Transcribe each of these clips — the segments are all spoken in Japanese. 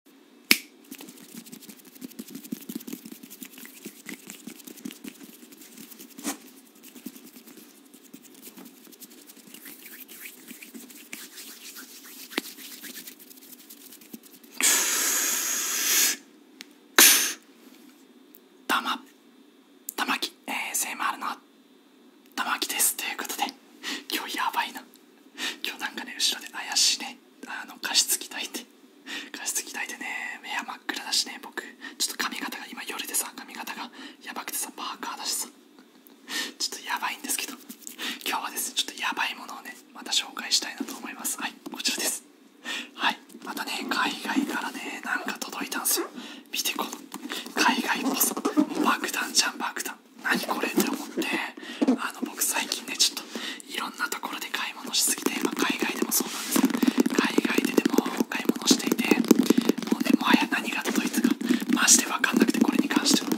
玉玉木 ASMR の玉木ですということで今日やばいな今日なんかね後ろで怪しいねあの加湿器炊いて加湿器炊いね目は真っ暗だしね僕ちょっと髪型が今夜でさ髪型がやばくてさパーカーだしさちょっとやばいんですけど今日はですちょっとやばいものをねまた紹介したいなと思いますはいこちらですはいまたね海外からねなんか届いたんですよ見てこの海外っ爆弾じゃん爆弾た何これって思ってあの僕最近ねちょっといろんなところで買い物しすぎて、ま海外でもそうなんですけど海外ででも買い物していてもうねもはや何が届いたかマジで分かんなくてこれに関しては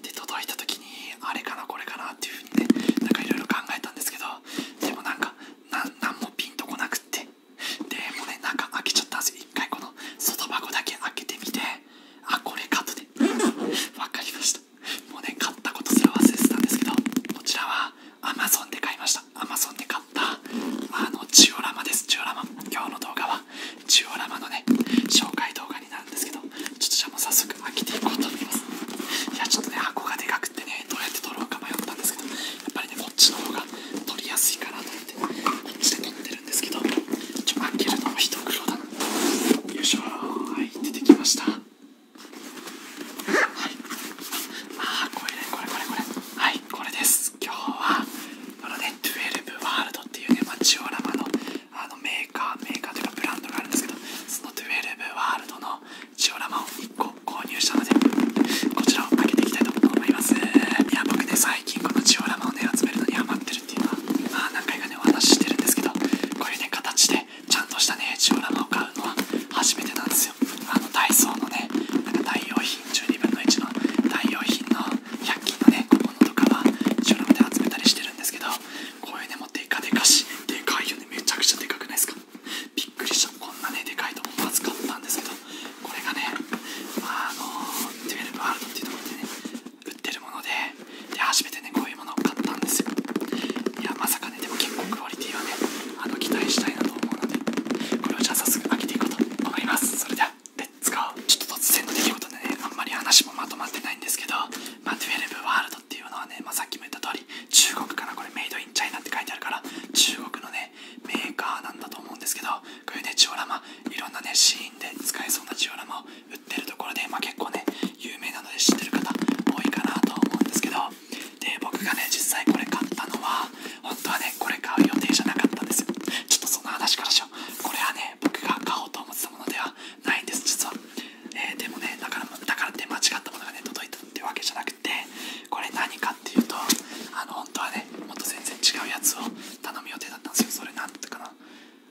で届いた時にあれかなこれかなっていう風にねなんかいろいろ考えたんですけどでもなんか何もピンとこなくってでもね中開けちゃったんですよ一回この外箱だけ開けてみてあこれカットでわかりましたもうね買ったことすら忘れてたんですけどこちらはアマゾンで買いましたアマゾンで買ったあのジオラマですジオラマ今日の動画はジオラマのね紹介動画になるんですけどちょっとじゃあもう早速開けていこうと思いますいやちょっとね箱がでかくてねどうやって取ろうか迷ったんですけどやっぱりねこっちの方が取りやすいかなと思ってこっちで取ってですけどちょ開けるの一苦労だよいはい出てきましたはあこれこれこれこれはいこれです今日はこのね12ワールドっていうね、まあ、ジオラマのあのメーカーメーカーというかブランドがあるんですけどその12ワールドのジオラマを1個購入したのでこちらを開けていきたいと思いますいや僕ね最近このジオラマをね集めるのにハマってるあ、何回かねお話ししてるんですけどこういう形でちゃんとしたねジオラマを買うのは初めてなんですよあのダイソーのねなんか代用品12分の1の代用品の100均のねこのとかはジオラマで集めたりしてるんですけどこういうもデカデカしでかいよねめちゃくちゃでかくないですかびっくりしたこんなねでかいと思わず買ったんですけどこれがね、まあ、あの12ワールドっていうところでね売ってるものでで初めてねこういうものを買ったんですよいやまさかねでも結構クオリティはねあの期待したいなと思うのでこれをじゃあ早速開けていこうと思いますそれではレッツゴーちょっと突然の出来事でねあんまり話もまとまってないんですけどま12ワールドっていうのはね、まさっきも言った通り中国かなこれメイドインチャイナって書いてあるから中国のねメーカーなんだと思うんですけどこういジオラマいろんなねシーンで使えそうなジオラマを売ってるところで、ま結構ね有名なので知ってる方多いかなと思うんですけどで僕がね実際これ買ったのは本当はねこれ買う予定じゃなかったんですよちょっとそんな話からしようこれはね僕が買おうと思ってたものではないんです実は、えでもねだからだからって間違ったものがね届いたってわけじゃなくてこれ何かっていうとあの本当はねもっと全然違うやつを頼む予定だったんですよそれなんてかな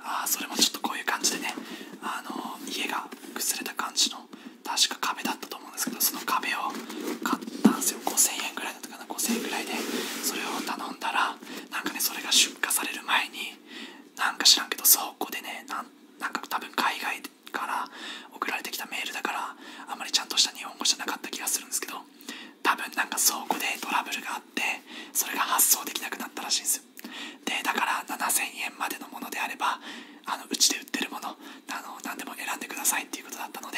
あそれもちょっとこういう感じでねあの家が崩れた感じの確か壁だったと思うんですけどその壁を買ったんですよ5000円ぐらいだったかな5000ぐらいでそれを頼んだらなんかねそれが出荷される前になんか知らんけど倉庫でねなんか多分海外から送られてきたメールだからあまりちゃんとした日本語じゃなかった気がするんですけど多分なんか倉庫でトラブルがあってそれが発送できなくなったらしいんですよでだから7000円までのものであればあのうちで売ってるものあの何でも選んでくださいっていうことだったので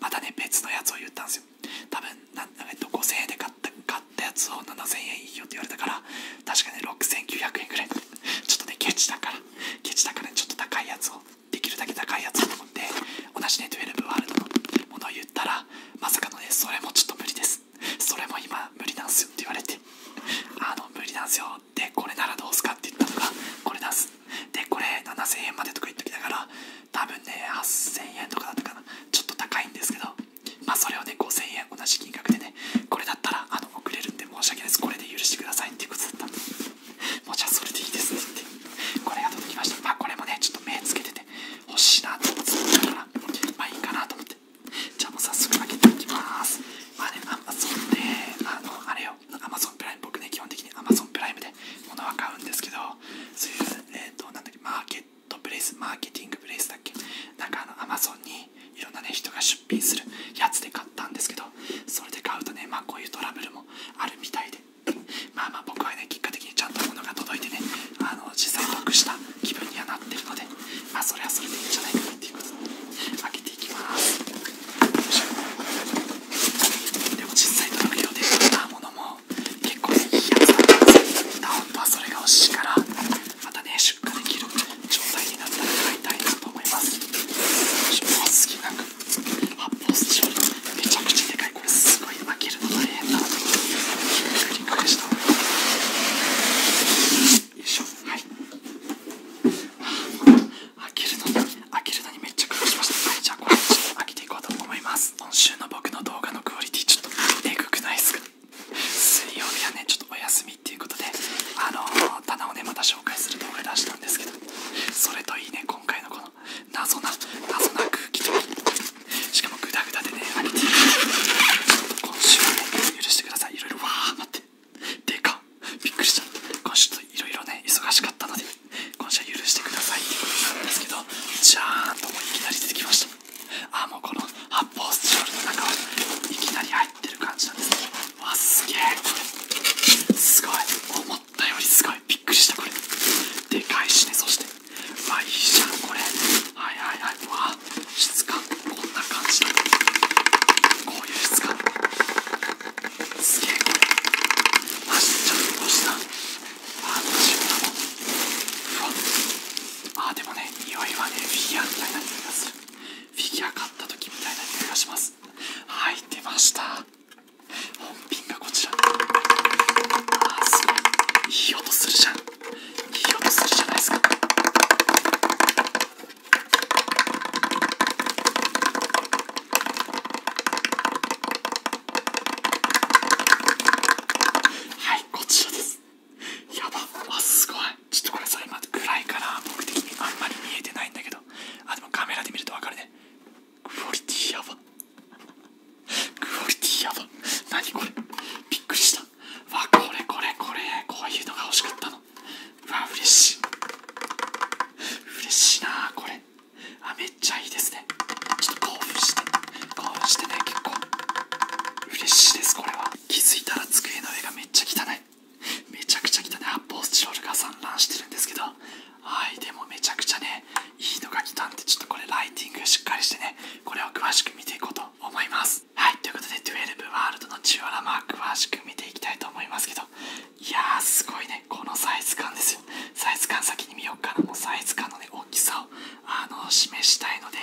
またね別のやつを言ったんですよ多分なん、えっと、5000円で買った買ったやつを7000円いいよって言われたから確かね6900円ぐらいちょっとねケチだからケチだから、ちょっと高いやつをできるだけ高いやつをと思って同じね12ワールドのものを言ったらまさかのねそれもちょっと無理ですそれも今無理なんすよって言われてあの無理なんすよでこれならどうすかって言ったのがこれなすでこれ7000円までとか言っときながら多分ね8000円とかだったかなちょっと高いんですけどまあそれをね5000円同じ金額でねこれだったらあの送れるんで申し訳ないですこれで許してくださいっていうことだったんでもうじゃあそれでいいですって言ってこれが届きましたまあこれもねちょっと目つけてて欲しいなと思ってたからまあいいかなと思ってじゃあもう早速開けていきますまあねアマゾンであのあれよアマゾンプライム僕ね基本的にアマゾンプライムで物は買うんですけどそういうえっ、となんだっけマーケットプレイスマーケティングプレイスだっけなんかあのアマゾンにいろんなね人が出品するやつで買ったんですけどそれで買うとねまあこういうトラブルもあるみたいで まあまあ僕はね結果的にちゃんと物が届いてねあの実際得した気分にはなってるのでまあそれはそれでいいんじゃないかなっていうことで開けていきますでも実際届くようで買ったものも結構いいやつだったんです本当はそれが欲しいからまたね出荷できる状態になったら買いたいなと思いますな発泡スチロールめちゃくちゃでかいすごい開けるの大変なのでひっくり返した方がいいよいしょはい開けるのに開けるのにめっちゃ苦労しましたはいじゃあこれ開けていこうと思います今週の僕の動画のクオリティちょっとえぐくないですか水曜日はねちょっとお休みということであの棚をねまた紹介する動画出したんですけどそれといいね今回のこ謎な謎な空気としかもグダグダでね兄て。今週はね許してください色々わあ、待ってでかびっくりした今週といろいろね忙しかったので今週は許してくださいってことなんですけどじゃーんともういきなり出てきましたあもうこの発泡スチロールの中はいきなり入ってる感じなんですねわすげえすごい思ったよりすごいびっくりしたこれでかいしねそしてうわいいじゃんこれはいはいはいうわ質感こんな感じだこういう質感すげえこれマジでちゃんとしたあどうしようかもうあでもね匂いはねフィギュアみたいな匂いがするフィギュア買った時みたいな匂いがしますはい出ました本品がこちらああ、すごいいい音するじゃんいい音するじゃないですかはいこちらですやばあすごいちょっとこれそさ今暗いから僕的にあんまり見えてないんだけどあでもカメラで見るとわかるねクオリティやばクオリティやば何これびっくりしたわこれこれこれこういうのが欲しかったのうわ嬉しい嬉しいなこれあめっちゃいいですねちょっと興奮して興奮してね結構嬉しいですこれは気づいたら机の上がめっちゃ汚いめちゃくちゃ汚い発泡スチロールが散乱してるんですけどはいでもめちゃくちゃねいいのが来たんでちょっとこれライティングしっかりしてねこれを詳しく見ていこうと思いますはいということで12ワールドのジオラマ詳しく見ていきたいと思いますけどいやーすごいねこのサイズ感ですよサイズ感先に見ようかなもうサイズ感のね大きさをあの示したいので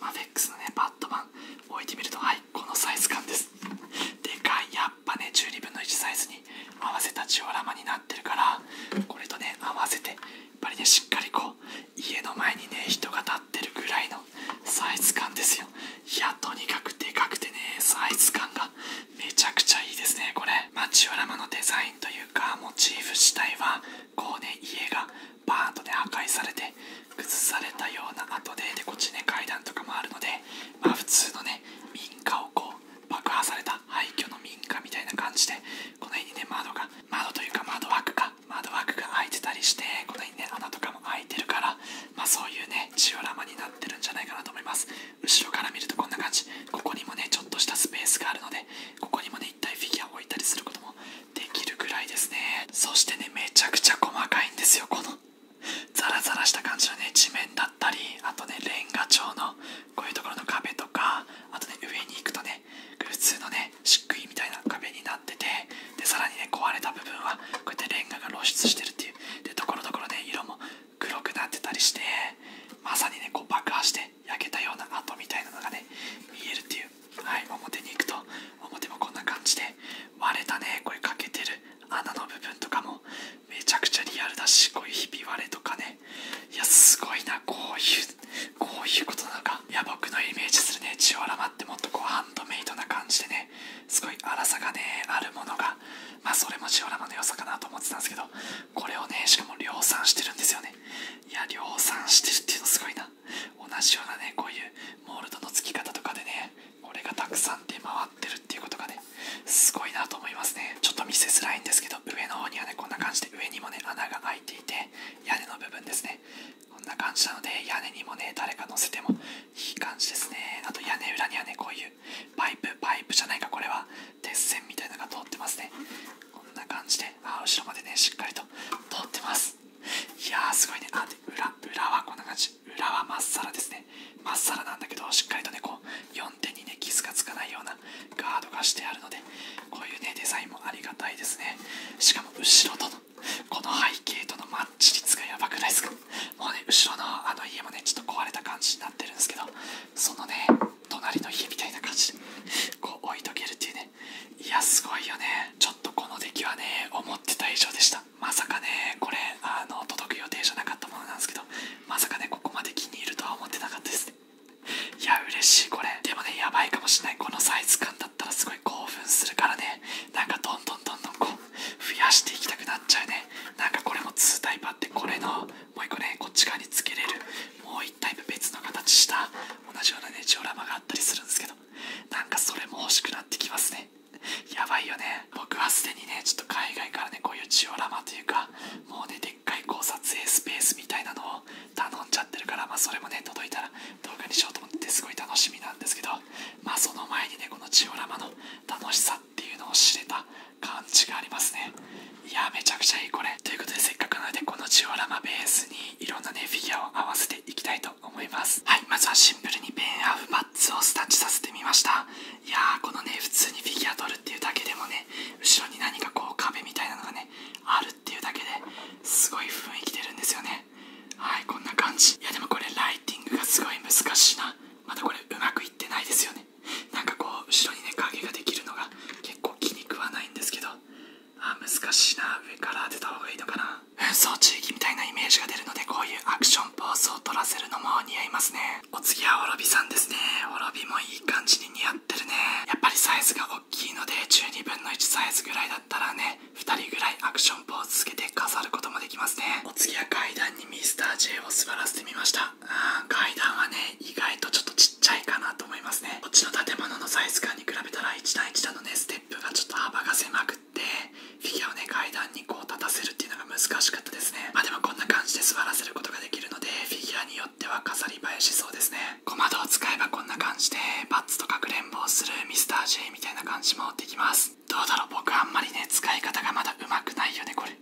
マフェックスのねバットマン置いてみるとはいこのサイズ感ですでかいやっぱね12分の1サイズに合わせたジオラマになってるからこれとね合わせてやっぱりねしっかりこう家の前にね人が立ってるぐらいのサイズ感ですよいやとにかくでかくてねサイズ感がめちゃくちゃいいですねこれまあジオラマのデザインというかモチーフ自体はこうね家がバーンとね破壊されて崩されたような後ででこっちね階段とかもあるのでまあ普通のね民家をこう爆破された廃墟の民家みたいな感じでこの辺にね窓が窓というか窓枠が窓枠が開いてたりしてこの辺にね穴とかも開いてるからまあそういうねジオラマになってるんじゃないかなと思います後ろから見るとこんな感じここにもねちょっとしたスペースがあるのでここにもね一体フィギュアを置いたりすることもできるくらいですねそしてねめちゃくちゃ細かいんですよこのザラザラした感じのね地面だったりあとねレンガ調のこういうところの壁とかあとね上に行くとね普通のね漆喰みたいな壁になっててでさらにね壊れた部分はこうやってレンガが露出してるっていうでところどころね色も黒くなってたりしてまさにねこう爆破して焼けたような跡みたいなのがね見えるっていうはい表に行くと表もこんな感じで割れたねこれ欠けてる穴の部分とかもめちゃくちゃリアルだしこういうひび割れとかねいやすごいなこういうこういうことなのかいや僕のイメージするねジオラマってもっとこうハンドメイドな感じでねすごい粗さがねあるものがまあそれもジオラマの良さかなと思ってたんですけどこれをねしかも量産してるんですよねいや量産してるっていうのすごいな同じようなねこういうモールドの付き方とかでねこれがたくさん出回ってるっていうことがねすごいなと思いますねちょっと見せづらいんですけど上の方にはねこんな感じで上にもね穴が開いていて屋根の部分ですねこんな感じなので屋根にもね誰か乗せてもいい感じですねあと屋根裏にはねこういうパイプパイプじゃないかこれは鉄線みたいなのが通ってますねこんな感じであ後ろまでねしっかりと通ってますいやーすごいねあで裏裏はこんな感じ裏はまっさらですねまっさらなんだけどしっかりとねこう4点にね傷がつかないようなガードがしてあるのでこういうねデザインもありがたいですねしかも後ろとのこの背景とのマッチ率がやばくないですかもうね後ろのあの家もねちょっと壊れた感じになってるんですけどそのね隣の家みたいな感じでこう置いとけるっていうねいやすごいよねちょっとこの出来はね思ってた以上でしたまさかねこれあの届く予定じゃなかったものなんですけどまさかねここまで気に入るとは思ってなかったですねいや嬉しいこれでもねやばいかもしれないこのサイズ感だったらすごい興奮するからねなんかどんどんどんどんこう増やしていきたくなっちゃうねなんかこれも2タイプあってこれのもう1個ねこっち側につけれるもう1タイプ別の形した同じようなねジオラマがあったりするんですけどなんかそれも欲しくなってきますねやばいよね僕はすでにねちょっと海外からねこういうジオラマというかもうねでっかいこう撮影スペースみたいなのを頼んじゃってるからまあそれもね届いたら動画にしようと思ってすごい楽しみなんですけどまあその前にねこのジオラマの楽しさっていうのを知れた感じがありますねいやめちゃくちゃいいこれということでせっかくなのでこのジオラマベースにいろんなねフィギュアを合わせていきたいと思いますはいまずはシンプルにペンアーフパッツをスタッチさせてみましたいやーこのね普通にフィギュア取るっていうだけでもね後ろに何かこう壁みたいなのがねあるっていうだけですごい雰囲気出るんですよねはいこんな感じいやでもこれライティングがすごい難しいなまだこれうまくいってないですよねなんかこう後ろにね影ができるのが結構気に食わないんですけどあ難しいな上から当てた方がいいのかな紛争地域みたいなイメージが出るのでこういうアクションポーズを取らせるのも似合いますねお次はおろびさんですね滅びもいい感じに似合ってるねやっぱりサイズが大きいので12分の1サイズぐらいだったらね2人ぐらいアクションポーズつけて飾ることもできますねお次は階段にミスター J を座らせてみましたうん、階段はね意外とちょっとちっちゃいかなと思いますねこっちの建物のサイズ感に比べたら1段1段のねステップがちょっと幅が狭くフィギュアをね階段にこう立たせるっていうのが難しかったですねまあでもこんな感じで座らせることができるのでフィギュアによっては飾り映えしそうですね小窓を使えばこんな感じでバッツとかくれんぼをするミスター J みたいな感じもできますどうだろう僕あんまりね使い方がまだうまくないよねこれ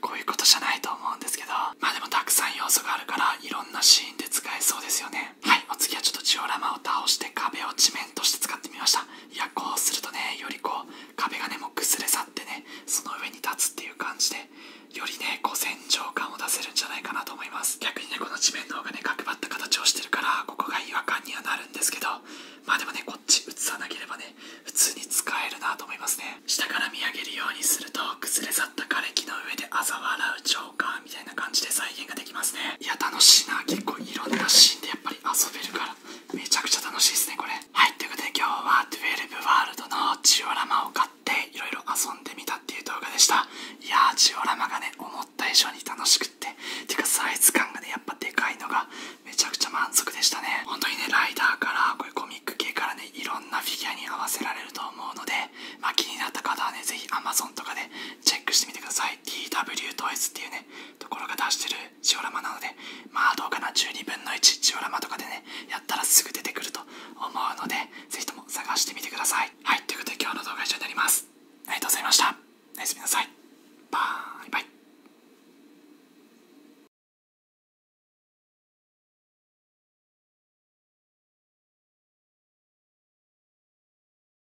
こういうことじゃないと思うんですけどまあでもたくさん要素があるからいろんなシーンで使えそうですよねはいお次はちょっとジオラマを倒して壁を地面として使ってみましたいやこうするとねよりこう壁がねもう崩れ去ってねその上に立つっていう感じでよりねこう戦場感を出せるんじゃないかなと思います逆にねこの地面の方がね角張った形をしてるからここが違和感にはなるんですけどまあでもねこっち移さなければね普通に使えるなと思いますね下から見上げるようにすると崩れ去った枯れ木の上で嘲笑うジョーカーみたいな感じで再現ができますねいや楽しいな結構いろんなシーンでやっぱ遊べるからめちゃくちゃ楽しいですねこれはいということで今日は12ワールドのジオラマを買っていろいろ遊んでみたっていう動画でしたいやージオラマがね思った以上に楽しくっててかサイズ感がねやっぱでかいのがめちゃくちゃ満足でしたね本当にねライダーからこういうコミック系からねいろんなフィギュアに合わせられると思うのでま気になった方はね是非 Amazon とかでチェックしてみてください TW2S っていうねところが出してるジオラマなのでまあどうかな12分の1ジオラマとかでねやったらすぐ出てくると思うのでぜひとも探してみてくださいはいということで今日の動画は以上になりますありがとうございましたおやすみなさいバイバイ